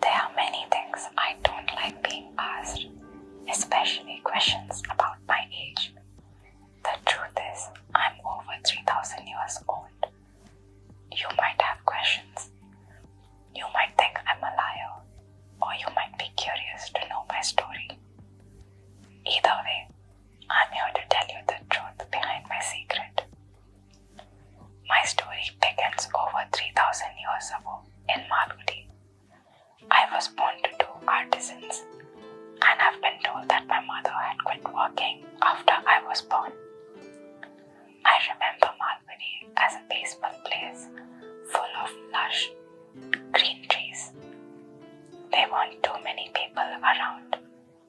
There are many things I don't like being asked, especially questions about my age. The truth is, I'm over 3000 years old. You might have questions. You might think I'm a liar, or you might be curious to know my story. Either way, I'm here to tell you the truth behind my secret. My story begins over 3000 years ago in Malgudi. I was born to two artisans and i have been told that my mother had quit working after I was born. I remember Malgudi as a peaceful place full of lush green trees. There weren't too many people around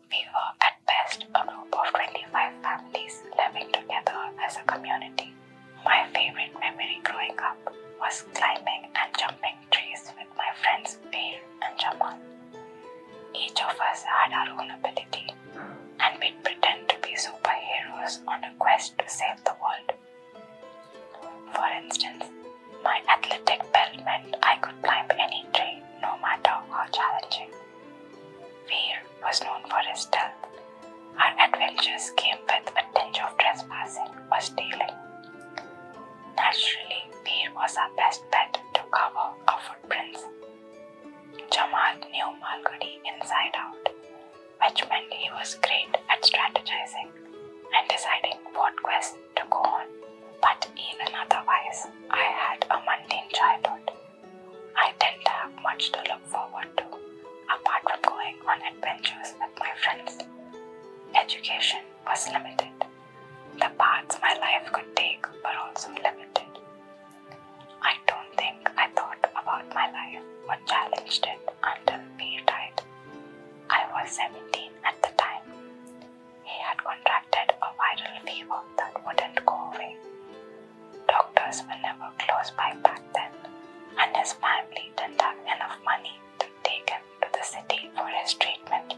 we were at best a group of 25 families living together as a community. My favorite memory growing up was climbing and jumping trees with my friends Bear and Jamal. Each of us had our own ability, and we'd pretend to be superheroes on a quest to save the world. For instance, my athletic belt meant I could climb any tree no matter how challenging. Weir was known for his stealth. Our adventures came with a tinge of trespassing or stealing. Naturally, Weir was our best bet to cover our footprints. Jamaat knew Malgudi inside out, which meant he was great at strategizing and deciding what quest to go on, but even otherwise, I had a mundane childhood. I didn't have much to look forward to, apart from going on adventures with my friends. Education was limited. The paths my life could take were also limited. I don't think I thought about my life or challenged it until we died. I was 17 at the time, he had contracted a viral fever that wouldn't go away. Doctors were never close by back then, and his family didn't have enough money to take him to the city for his treatment.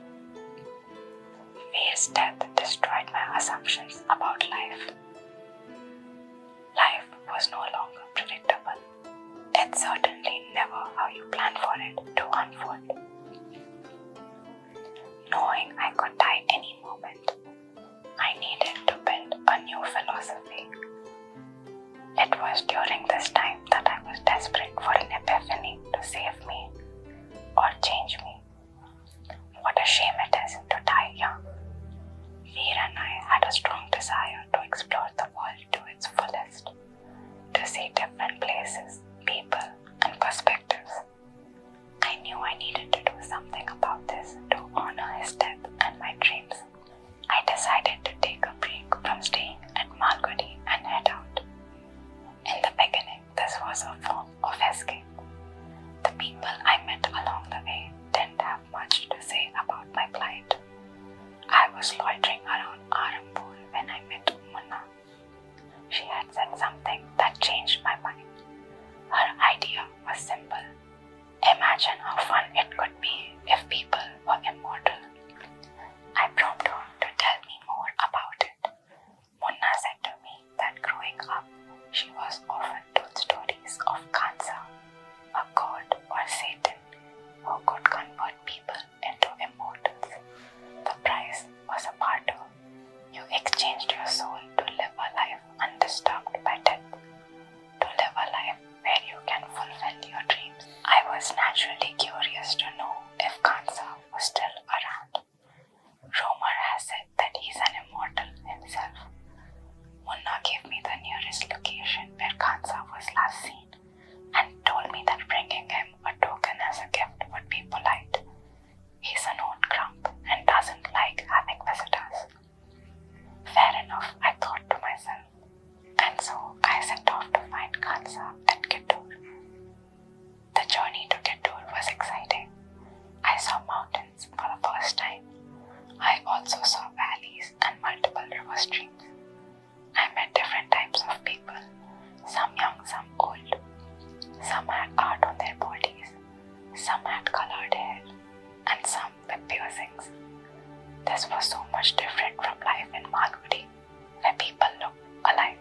Fear's death destroyed my assumptions about life. Life was no longer predictable. It's certainly never how you plan for it to unfold knowing I could die any moment. I needed to build a new philosophy. It was during this time that I was desperate for an epiphany to save me or change me. What a shame it is to die young. Veer and I had a strong desire to explore the world to its fullest, to see different places, people, and perspectives. I knew I needed to do something about this to honor his death and my dreams. I decided to take a break from staying at Malgudi and head out. In the beginning, this was a form of escape. The people I met along the way didn't have much to say about my plight. I was loitering around Arampur when I met Munna. She had said something that changed my mind. Her idea was simple. Imagine how fun it could be if people were immortal. I prompted her to tell me more about it. Mona said to me that growing up, she was often told stories of cancer, a god or Satan who could convert people into immortals. The price was a part of You exchanged your soul to live a life undisturbed by death, to live a life where you can fulfill your dreams. I was naturally curious to know if Kansa was still around. Rumor has said that he's an immortal himself. Munna gave me the nearest location where Kansa was last seen and told me that bringing him a token as a gift would be polite. He's an old grump and doesn't like having visitors. Fair enough, I thought to myself, and so I set off to find Khansa at Kittur. The journey to Kittur was exciting. I saw mountains for the first time. I also saw valleys and multiple river streams. I met different types of people some young, some old. Some had art on their bodies, some had colored hair, and some with piercings. This was so much different from life in Malgudi, where people look alike.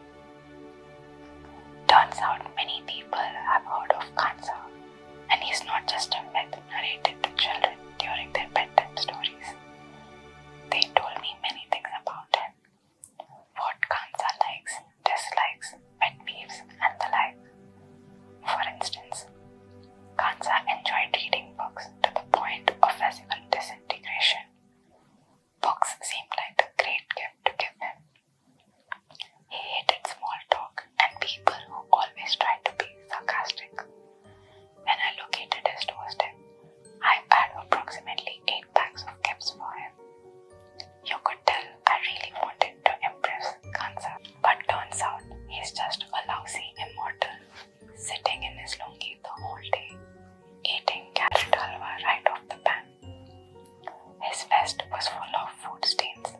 Turns out many people have heard of Kansa, and he's not just a myth narrated to children during their bedtime stories. They told me many things about him what counts are likes, dislikes, pet peeves, and the like. For instance, Kansa enjoyed reading books to the point of physical disintegration. Books seemed like a great gift to give him. He hated small talk and people who always tried to be sarcastic. When I located his doorstep, I had approximately eight eight of gifts for him. You could tell I really wanted to impress Kansa, but turns out he's just a lousy immortal, sitting in his lungi the whole day, eating carrot halwa right off the pan. His vest was full of food stains,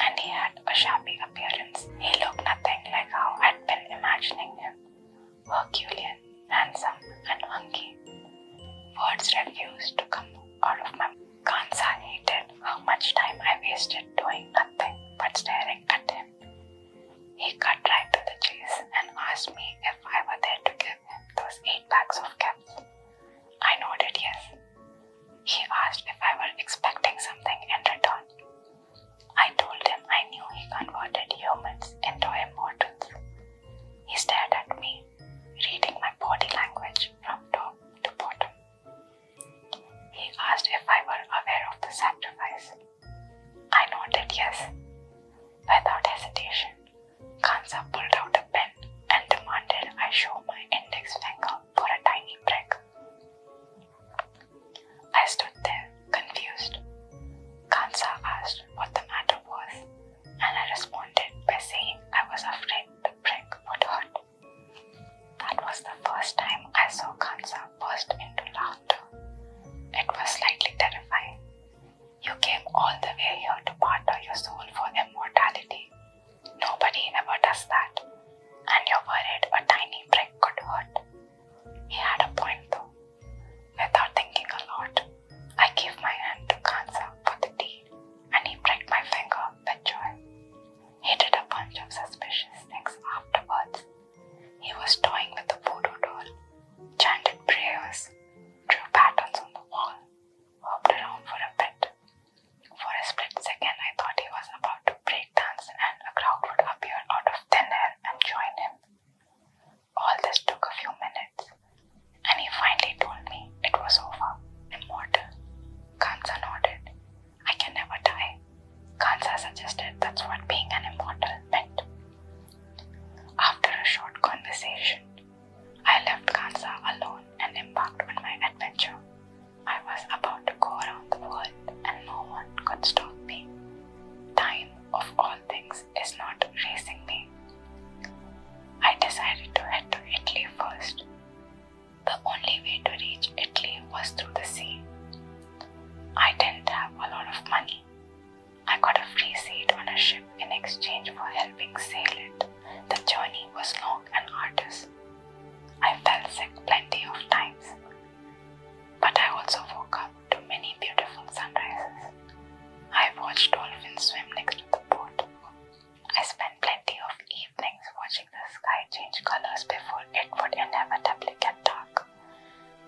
and he had a shabby appearance. He looked nothing like how I'd been imagining him. Herculean, handsome, and hungry. Words refused to come out of my mouth. Kansa hated how much time I wasted doing nothing but staring at him. He cut right to the chase and asked me if I were there to give him those eight bags of caps. I nodded yes. He asked if I were expecting something in return. I told him I knew he converted humans into immortals, he stared at me, reading my body language from top to bottom. He asked if I were aware of the sacrifice. I nodded yes. Without hesitation, Kansa pulled out a pen and demanded I show my index finger for a tiny prick. I stood there, confused. Kansa asked what the matter was, and I responded by saying I was afraid the brick would hurt. That was the first time I saw Kansa burst into laughter. It was slightly terrifying. You came all the way here to barter your soul for immortality. Nobody ever does that, and you're worried a tiny brick could hurt. He had a point though. Without thinking a lot, I gave my hand to Kansa for the deed, and he pricked my finger with joy. He did a bunch of suspicious things afterwards. He was toying with a photo doll, chanted prayers, drew patterns on the wall, hopped around for a bit. For a split second, I thought he was about to break dance and a crowd would appear out of thin air and join him. All this took a few minutes, and he finally told me it was over. Immortal. Kansa nodded. I can never die. Kansa suggested that's what being an immortal meant. After a short conversation, I left Kansa alone and embarked on my adventure. I was about to go around the world, and no one could stop me. Time of all things is not racing me. I decided to head to Italy first. The only way to reach Italy was through the sea. I didn't have a lot of money. I got a free seat on a ship in exchange for helping sail it. The journey was long and arduous. I fell sick plenty of times. But I also woke up to many beautiful sunrises. I watched dolphins swim next to the boat. I spent plenty of evenings watching the sky change colors before it would inevitably get dark.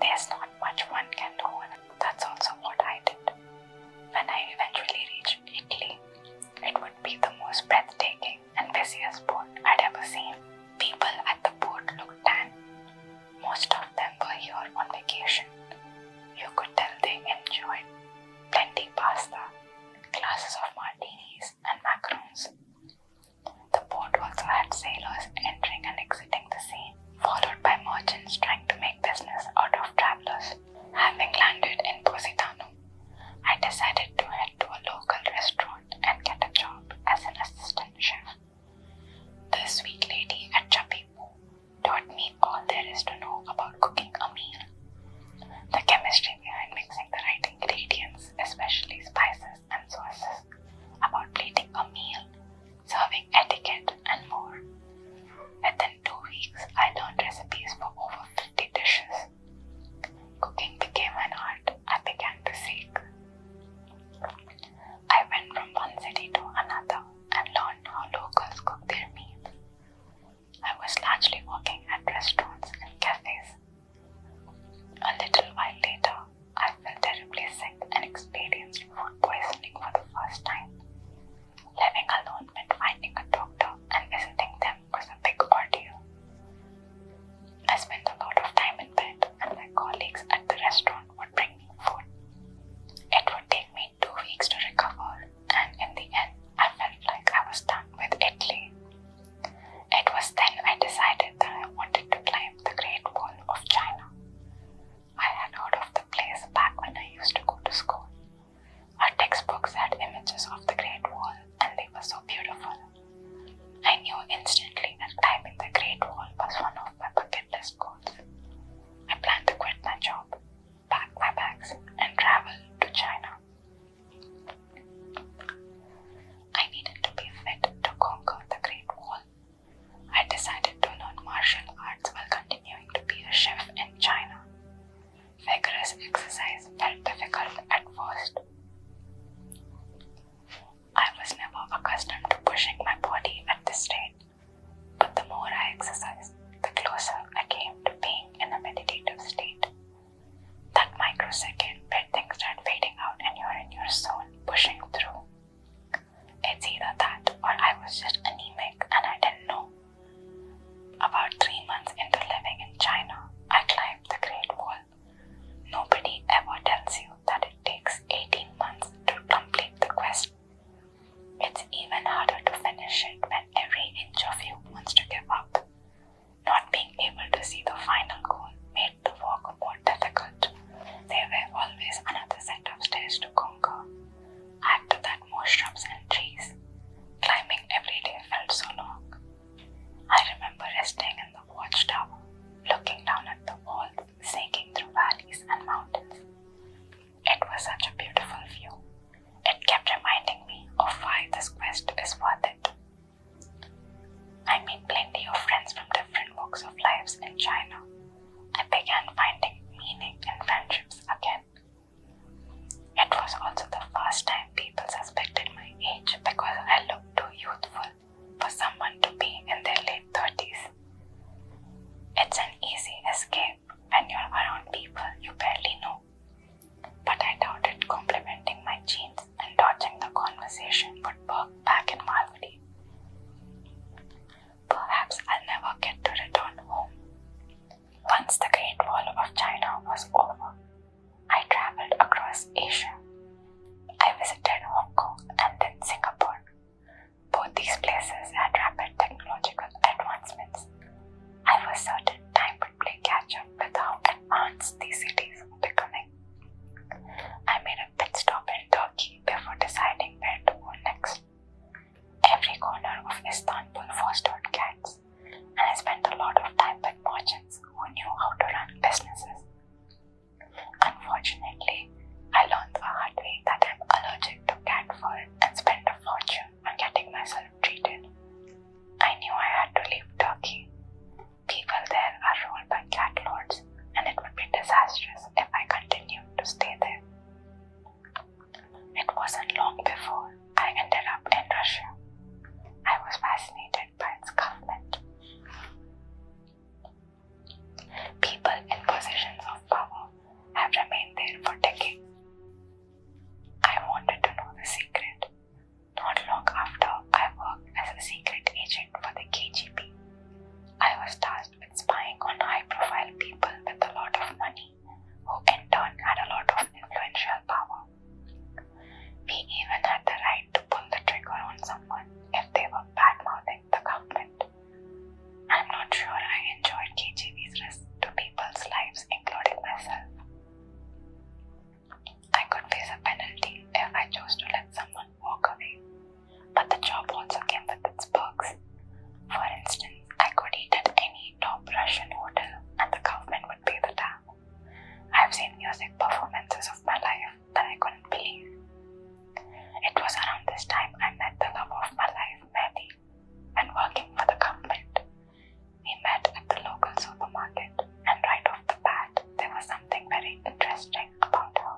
There's not much one can do, that's also what I did. When I eventually reached Italy, it would be the most breathtaking and busiest port I'd ever seen. People at the port looked tan, most of them were here on vacation. You could tell they enjoyed plenty pasta, glasses of martinis, and macarons. The port also had sailors entering and exiting the sea, followed by merchants trying to make business out of travelers. Having landed in Positano, I decided to head to a local restaurant and get a job as an assistant chef. The sweet lady at Chapipu taught me all there is to know about cooking a meal. The chemistry behind mixing the right ingredients, especially spices and sauces, about plating a meal, serving etiquette, and more. Within two weeks, I learned recipes for over 50 dishes. Cooking became an art I began to seek. I went from one city to another and learned how locals cook their meals. I was largely working at restaurants and cafes. A little while later, I felt terribly sick and experienced food poisoning for the first time. Living alone meant finding a doctor and visiting them was a big ordeal. I spent a lot of time in bed, and my colleagues at the restaurant would bring it would take me two weeks to recover, and in the end, I felt like I was done with Italy. It was then I decided that I wanted to climb the Great Wall of China. I had heard of the place back when I used to go to school. Our textbooks had images of the Great Wall, and they were so beautiful. I knew instantly that climbing the Great Wall was one of my bucket list goals. I plan to quit my job, pack my bags, and travel to China. I needed to be fit to conquer the Great Wall. I decided to learn martial arts while continuing to be a chef in China. Vigorous exercise felt difficult at first. I was never accustomed to pushing my body at this rate, but the more I exercised, the closer I came to being in a meditative state. That microsecond where things start fading out and you're in your zone, pushing through. It's either that or I was just anemic and I didn't know. About three months into living in China, I climbed the Great Wall Nobody ever tells you that it takes 18 months to complete the quest. It's even harder to finish it when every inch of you wants to give up. Not being able to see the final goal made the walk more difficult. There were always another set of stairs to conquer. After that more shrubs and trees. Climbing every day felt so long. I remember resting in the watchtower, looking down at the wall snaking through valleys and mountains. It was such a beautiful view. It kept reminding me of why this quest is worth it. I made plenty of friends from different walks of lives in China. I began finding meaning in friendships again. It was also the first time people suspected my age because I looked too youthful for someone to be in their late 30s. It's an easy escape when you're around people you barely know, but I doubted complimenting my jeans and dodging the conversation would work back in Malvadi. Perhaps I'll never get to return home. Once the Great Wall of China was over, I traveled across Asia I visited Hong Kong and then Singapore. Both these places had rapid technological advancements. I was certain time would play catch up with how advanced these cities were becoming. I made a pit stop in Turkey before deciding where to go next. Every corner of Istanbul fostered cats, and I spent a lot of time with merchants who knew how to run businesses. Unfortunately, I learned the hard way that I'm allergic to cat fur and spent a fortune on getting myself treated. I knew I had to leave Turkey. People there are ruled by cat lords, and it would be disastrous if I continued to stay there. It wasn't long before I ended up in Russia. I was fascinated by its government. People in positions of power have remained there for decades. I wanted to know the secret. Not long after, I worked as a secret agent for the KGB. I was tasked with spying on high profile people with a lot of money, who in turn had a lot of influential power. We even had the right to pull the trigger on some if they were bad-mouthing the government. I'm not sure I enjoyed KGB's risk to people's lives, including myself. I could face a penalty if I chose to let someone walk away, but the job also came with its perks. For instance, I could eat at any top Russian hotel and the government would pay the tab. I've seen music performances of my life that I couldn't believe. It was around this time I met the love of my life, Mehdi, and working for the government. We met at the local supermarket, and right off the bat, there was something very interesting about her.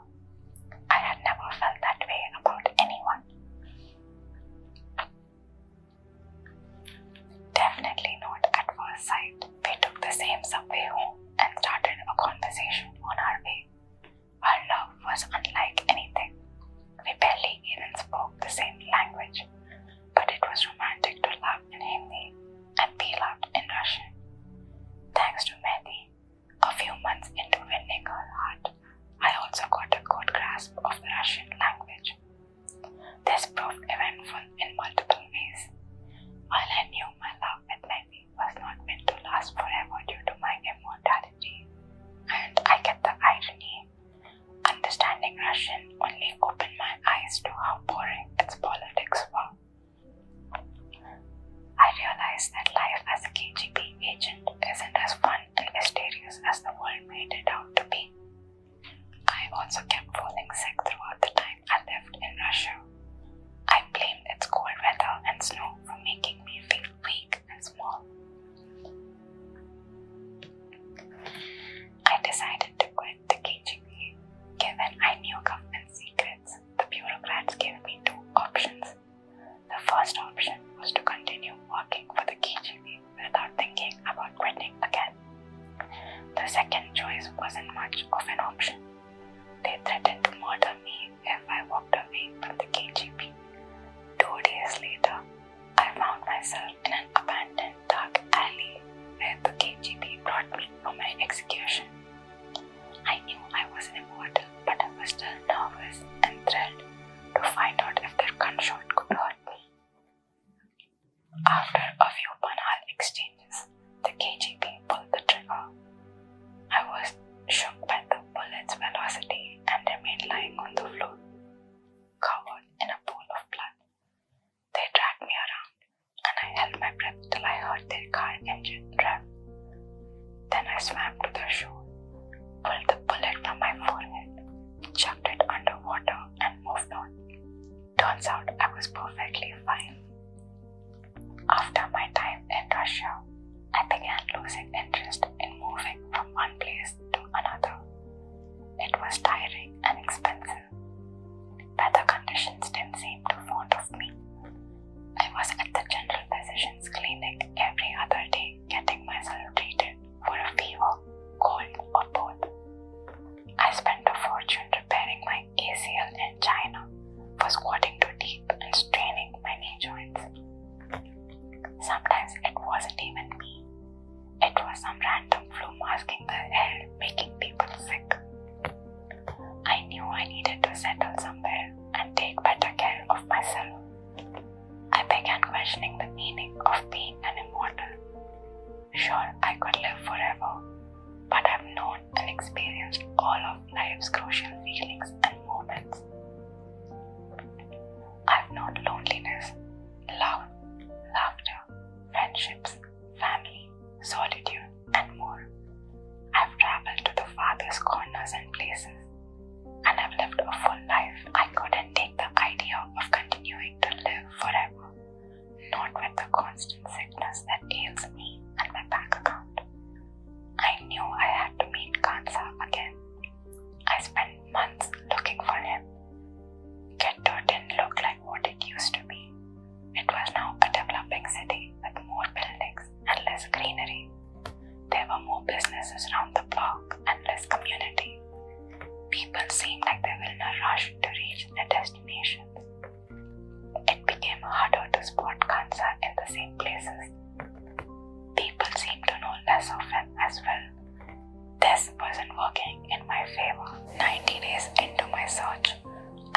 I had never felt that way about anyone. Definitely not at first sight. We took the same subway home and started a conversation on our way. Our love was unlike anything. We barely even spoke the same language, but it was romantic to love in Hindi and be loved in Russian. Thanks to Mehdi, a few months into winning her heart, I also got a good grasp of the Russian language. This proved eventful in multiple ways. While I knew my love with Mehdi was not meant to last forever due to my immortality. And I get the irony. Understanding Russian only opened my eyes to how boring its politics were. I realized that life as a KGB agent isn't as fun and mysterious as the world made it out to be. I also kept falling sick throughout the time I lived in Russia. I blamed its cold weather and snow for making me feel weak and small. I decided to quit the KGB. Given I knew government secrets, the bureaucrats gave me two options. The first option was to continue working for the KGB without thinking about quitting again. The second choice wasn't much of an option. They threatened to murder me if I walked away from the KGB. Two days later, I found myself in an abandoned dark alley where the KGB brought me for my execution. I knew I was immortal, but I was still nervous and thrilled to find out if their gunshot could hurt me. After a few banal exchanges, the KGB pulled the trigger. I was shocked by the bullet's velocity and remained lying on the floor, covered in a pool of blood. They dragged me around, and I held my breath till I heard their car engine rev. Then I swam to the shore, pulled the bullet from my forehead, chucked it underwater, and moved on. Turns out I was perfectly fine. After my time in Russia, I began losing interest in moving from one place to another. It was tiring and expensive. Weather conditions didn't seem me. I was at the general physician's clinic every other day getting myself treated for a fever, cold, or both. I spent a fortune repairing my my ACL in China for squatting too deep and straining my knee joints. Sometimes it wasn't even me, it was some random flu masking the hell, making people sick. I knew I needed to settle somewhere and take better care of myself. I began questioning the meaning of being an immortal. Sure, I could live forever, but I've known and experienced all of life's crucial feelings and moments. I've known loneliness, love, laughter, friendships, family, solitude, and more. I've traveled to the farthest corners and places, and I've lived a full life. I couldn't take the idea of continuing to live forever not with the constant sickness that ails me and my bank account. I knew I had to meet Kansa again. I spent months looking for him. Getto didn't look like what it used to be. It was now a developing city with more buildings and less greenery. There were more businesses around the block and less community. People seemed like they were in a rush to reach their destinations. It became harder to spot cancer in the same places. People seemed to know less of him as well. This wasn't working in my favor. 90 days into my search,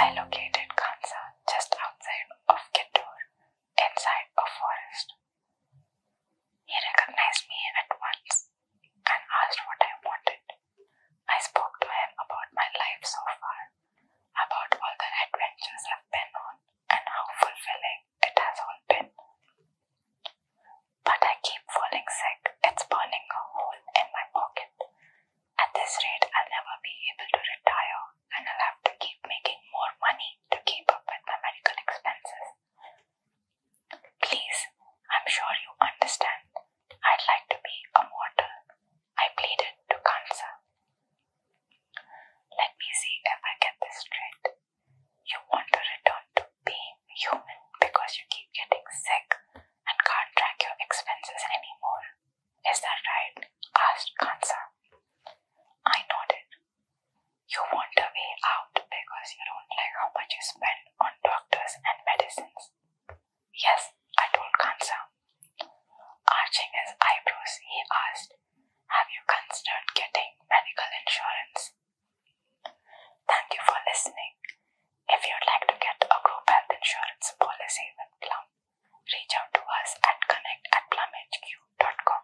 I located cancer just outside of Kittur, inside a forest. He recognized me at once and asked what I wanted. I spoke to him about my life so far, about all the adventures I've been on, and how fulfilling it has all been. But I keep falling sick, it's burning a hole in my pocket. At this rate, I'll never be able to retire, and I'll have to keep making more money to keep up with my medical expenses. Please, I'm sure you understand. I'd like to be a mortal. I pleaded to Kansa. Let me see if I get this straight. You want to return to being human because you keep getting sick and can't track your expenses anymore. Is that right? asked Kansa. I nodded. You want a way out because you don't like how much you spend on doctors and medicines. Yes, I told Kansa. Arching his eyebrows, he asked, Have you considered getting medical insurance? Thank you for listening. If you'd like to get a group health insurance policy with Plum, reach out to us at connect at plumhq.com.